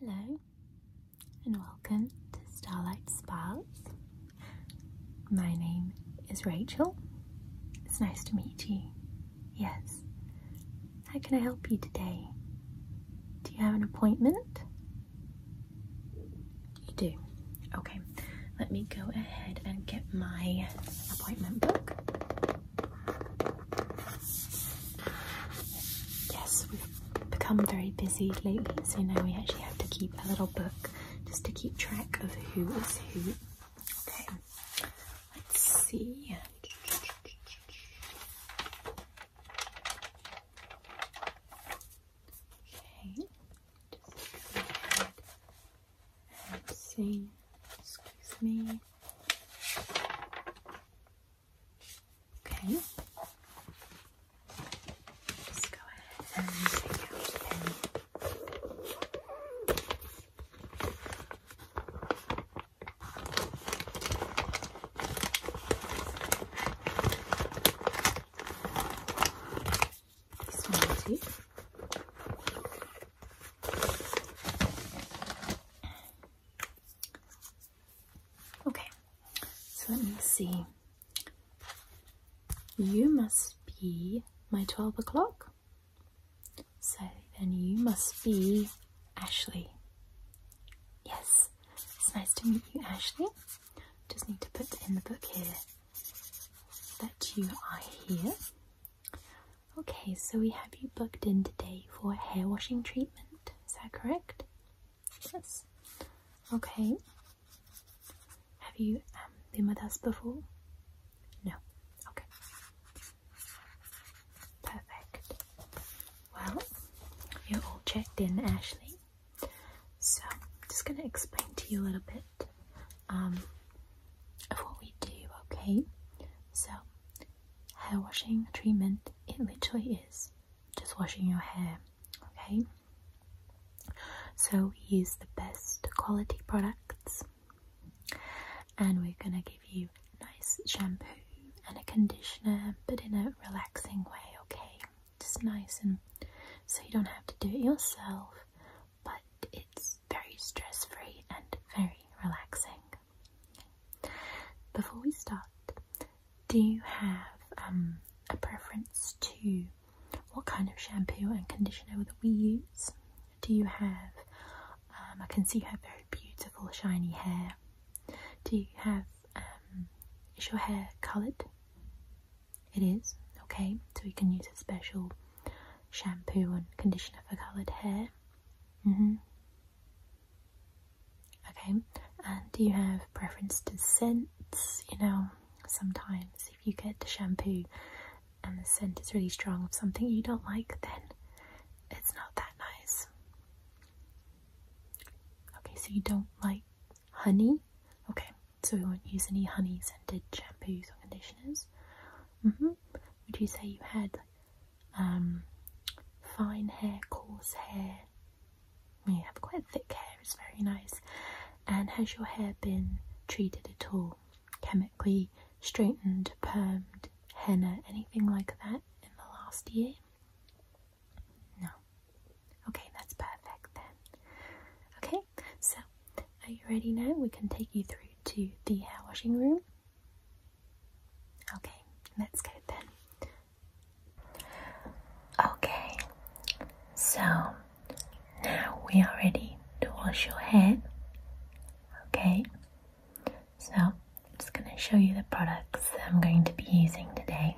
Hello and welcome to Starlight Sparks. My name is Rachel. It's nice to meet you. Yes. How can I help you today? Do you have an appointment? You do. Okay. Let me go ahead and get my appointment book. Yes, we've become very busy lately, so now we actually have to keep a little book just to keep track of who is who. Okay, let's see. Okay, just go ahead and see. Excuse me. Okay. Just go ahead and take out the pen. Smarties. Okay, so let me see. You must be my 12 o'clock. So then you must be Ashley. Yes, it's nice to meet you, Ashley. Just need to put in the book here that you are here. Okay, so we have you booked in today for a hair washing treatment. Is that correct? Yes. Okay, have you um, been with us before? No. Okay. Perfect. Well, you're all checked in, Ashley. So, I'm just going to explain to you a little bit um, of what we do, okay? So, hair washing treatment, it literally is just washing your hair, okay? So we use the best quality products and we're going to give you nice shampoo and a conditioner but in a relaxing way, okay? Just nice and so you don't have to do it yourself but it's very stress free and very relaxing. Before we start, do you have um, a preference to what kind of shampoo and conditioner that we use. Do you have, um, I can see you have very beautiful shiny hair. Do you have, um, is your hair coloured? It is, okay, so you can use a special shampoo and conditioner for coloured hair. Mm-hmm. Okay, and do you have preference to scents? You know, sometimes if you get the shampoo and the scent is really strong of something you don't like, then it's not that nice. Okay, so you don't like honey? Okay, so we won't use any honey scented shampoos or conditioners. Mm-hmm. Would you say you had um, fine hair, coarse hair? Well, you have quite thick hair, it's very nice. And has your hair been treated at all? Chemically? straightened, permed, henna, anything like that in the last year? No. Okay, that's perfect then. Okay, so are you ready now? We can take you through to the hair washing room. Okay, let's go then. Okay, so now we are ready to wash your hair. Okay, so I'm just going to show you the products I'm going to be using today.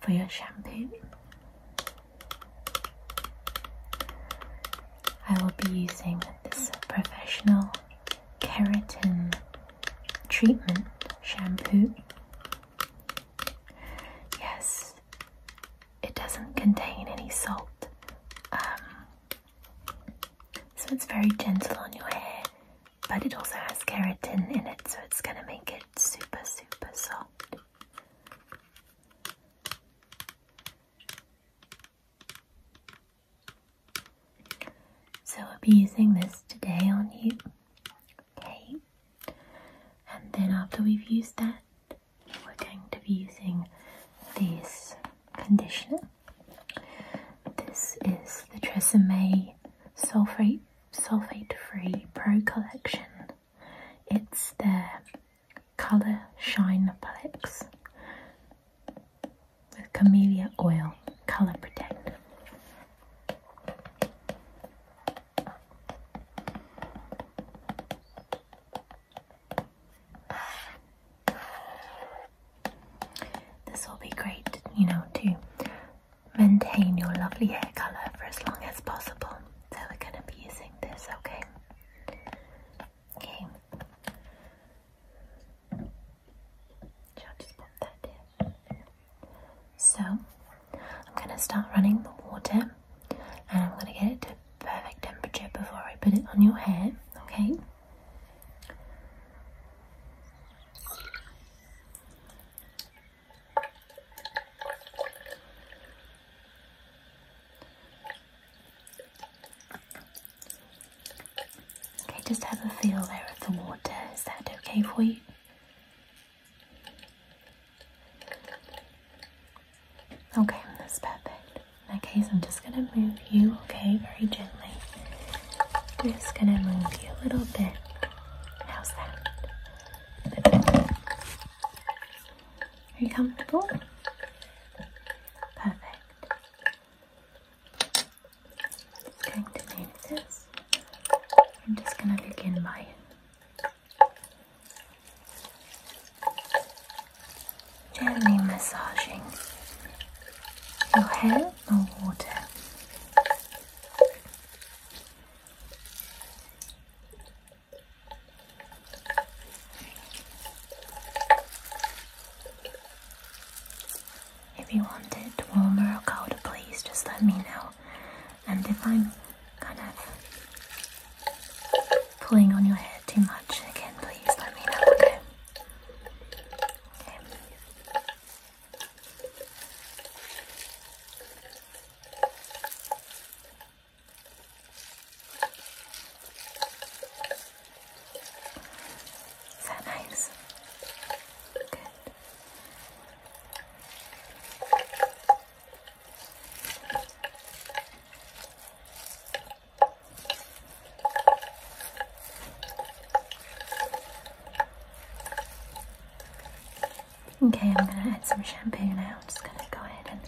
For your shampoo, I will be using this professional keratin treatment shampoo. Yes, it doesn't contain any salt. Um, so it's very gentle on your hair, but it also has keratin in it, so it's going to make it super, super soft. So I'll be using this today on you. Okay. And then after we've used that, we're going to be using this conditioner. This is the Tresemme Sulfate Sulfate Free Pro Collection. It's their Colour Shine Plex with Camellia Oil Colour Protect. This will be great, you know, to maintain your lovely hair colour for as long as possible. So we're going to be using this, okay? Okay. Shall I just pop that in? So I'm going to start running the water and I'm going to get it to perfect temperature before I put it on your hair, okay? Okay, just have a feel there of the water. Is that okay for you? Okay, that's perfect. In that case, I'm just gonna move you, okay, very gently. I'm just gonna move you a little bit. How's that? Are you comfortable? Perfect. Just going to move this. I'm just gonna begin by Gently massaging your hair or water. If you want it warmer or colder, please just let me know. And if I'm kind of pulling on your hair too much. Again, please let me know, okay? Okay. Is that nice? Good. Okay, I'm going to add some shampoo now. I'm just going to go ahead and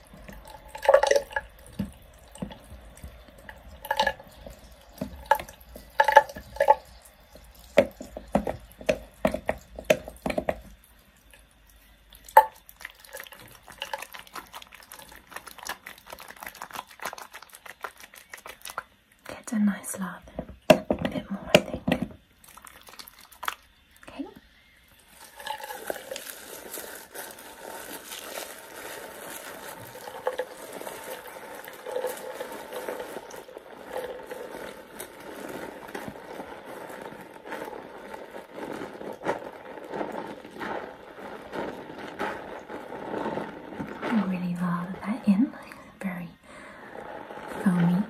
Get a nice lather, a bit more, I think. Okay. I really love that in, very foamy.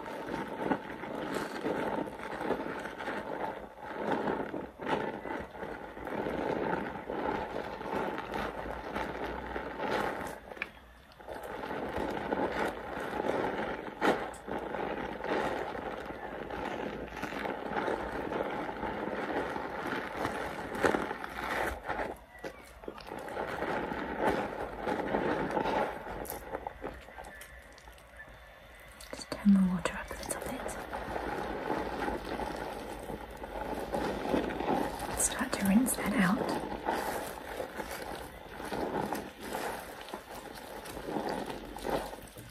Just turn the water up a little bit. Start to rinse that out.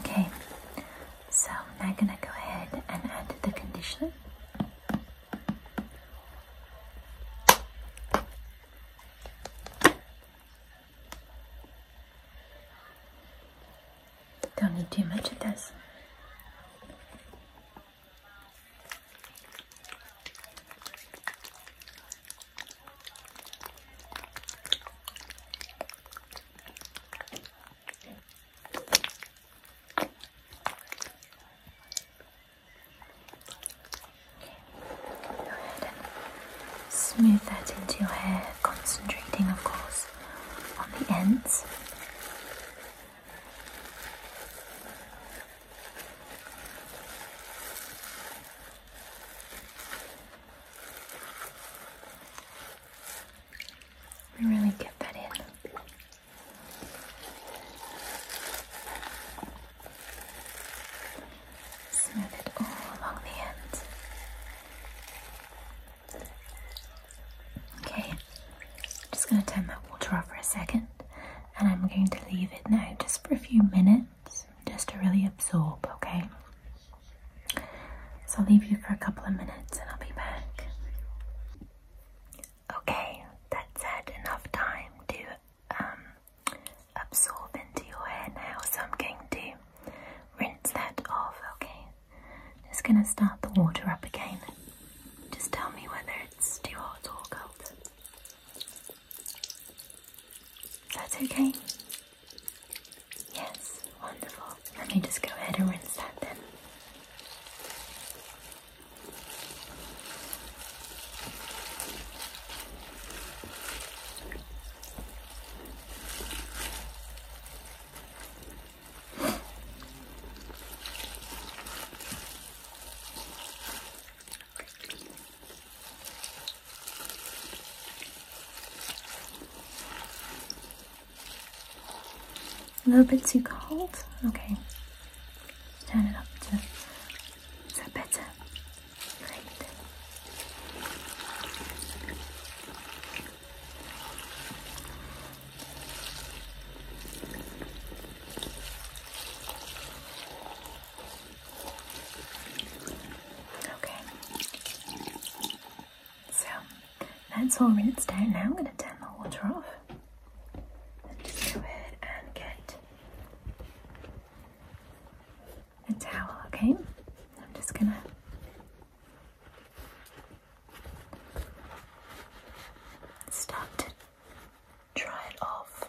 Okay, so now I'm gonna go ahead and add the conditioner. Don't need too much of this. Go ahead and smooth that into your hair, concentrating, of course, on the ends really get that in. Smooth it all along the ends. Okay, just going to turn that water off for a second and I'm going to leave it now just for a few minutes just to really absorb, okay? So I'll leave you for a couple of minutes and I'll be back. Okay, that's had enough time to um, absorb into your hair now, so I'm going to rinse that off, okay? Just gonna start the water up again. Just tell me whether it's too hot or cold. That's okay. Yes, wonderful. Let me just go ahead and rinse that then. A little bit too cold? Okay. turn it up to is that Great. Okay. So that's all rinsed out. Now I'm going to turn the water off and just go ahead and get a towel. Okay. I'm just going to. Start to dry it off.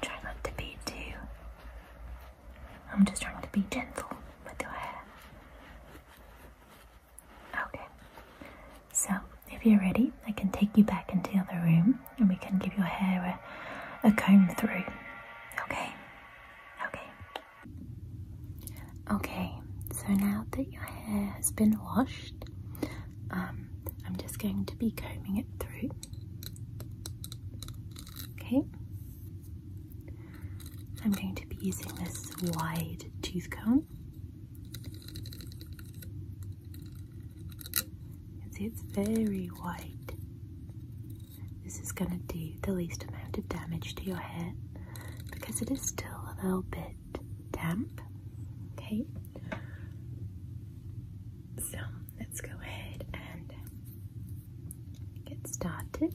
Try not to be too. I'm just trying to be gentle with your hair. Okay, so if you're ready, I can take you back into the other room and we can give your hair a, a comb through. Okay, okay. Okay, so now that your hair has been washed, um, I'm just going to be combing it through. Okay, I'm going to be using this wide tooth comb. You can see it's very wide. This is going to do the least amount of damage to your hair because it is still a little bit damp. Okay. So let's go ahead and get started.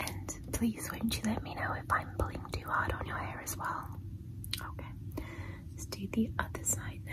And please, won't you let me know if I'm pulling too hard on your hair as well? Okay, let's do the other side now.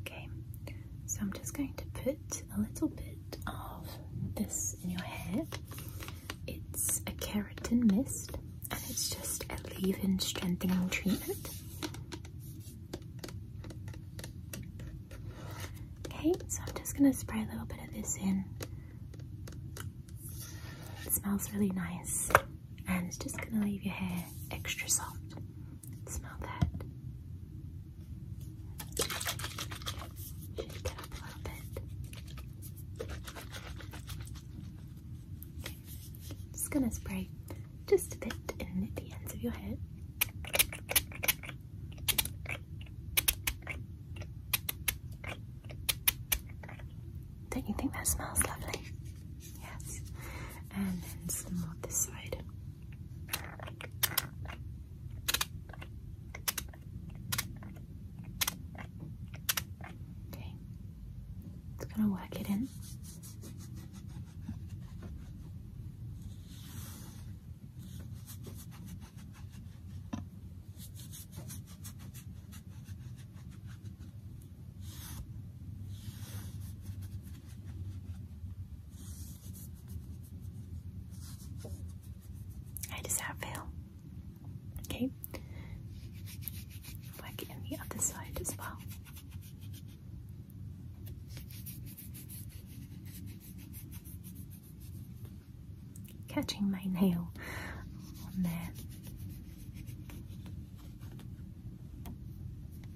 Okay, so I'm just going to put a little bit of this in your hair. It's a keratin mist and it's just a leave-in strengthening treatment. Okay, so I'm just going to spray a little bit of this in. It smells really nice and it's just gonna leave your hair extra soft. Smell that. Shake it up a little bit. Just gonna spray just a bit in the ends of your hair. Don't you think that smells lovely? Yes. And then smooth this side. Okay. It's gonna work it in. How does that feel? Okay. Like in the other side as well. Catching my nail on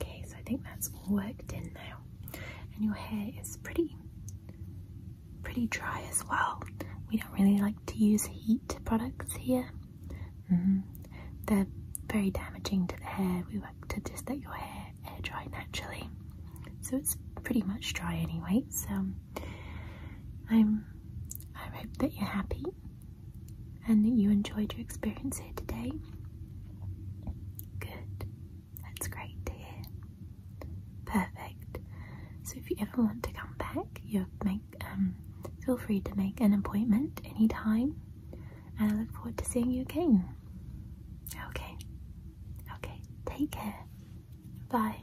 Okay, so I think that's worked in now. And your hair is pretty pretty dry as well. We don't really like to use heat products here. -hmm. They're very damaging to the hair. We like to just let your hair air dry naturally. So it's pretty much dry anyway, so um, I'm, I hope that you're happy and that you enjoyed your experience here today. Good. That's great to Perfect. So if you ever want to come back, you make um, feel free to make an appointment anytime and I look forward to seeing you again. Okay. Okay. Take care. Bye.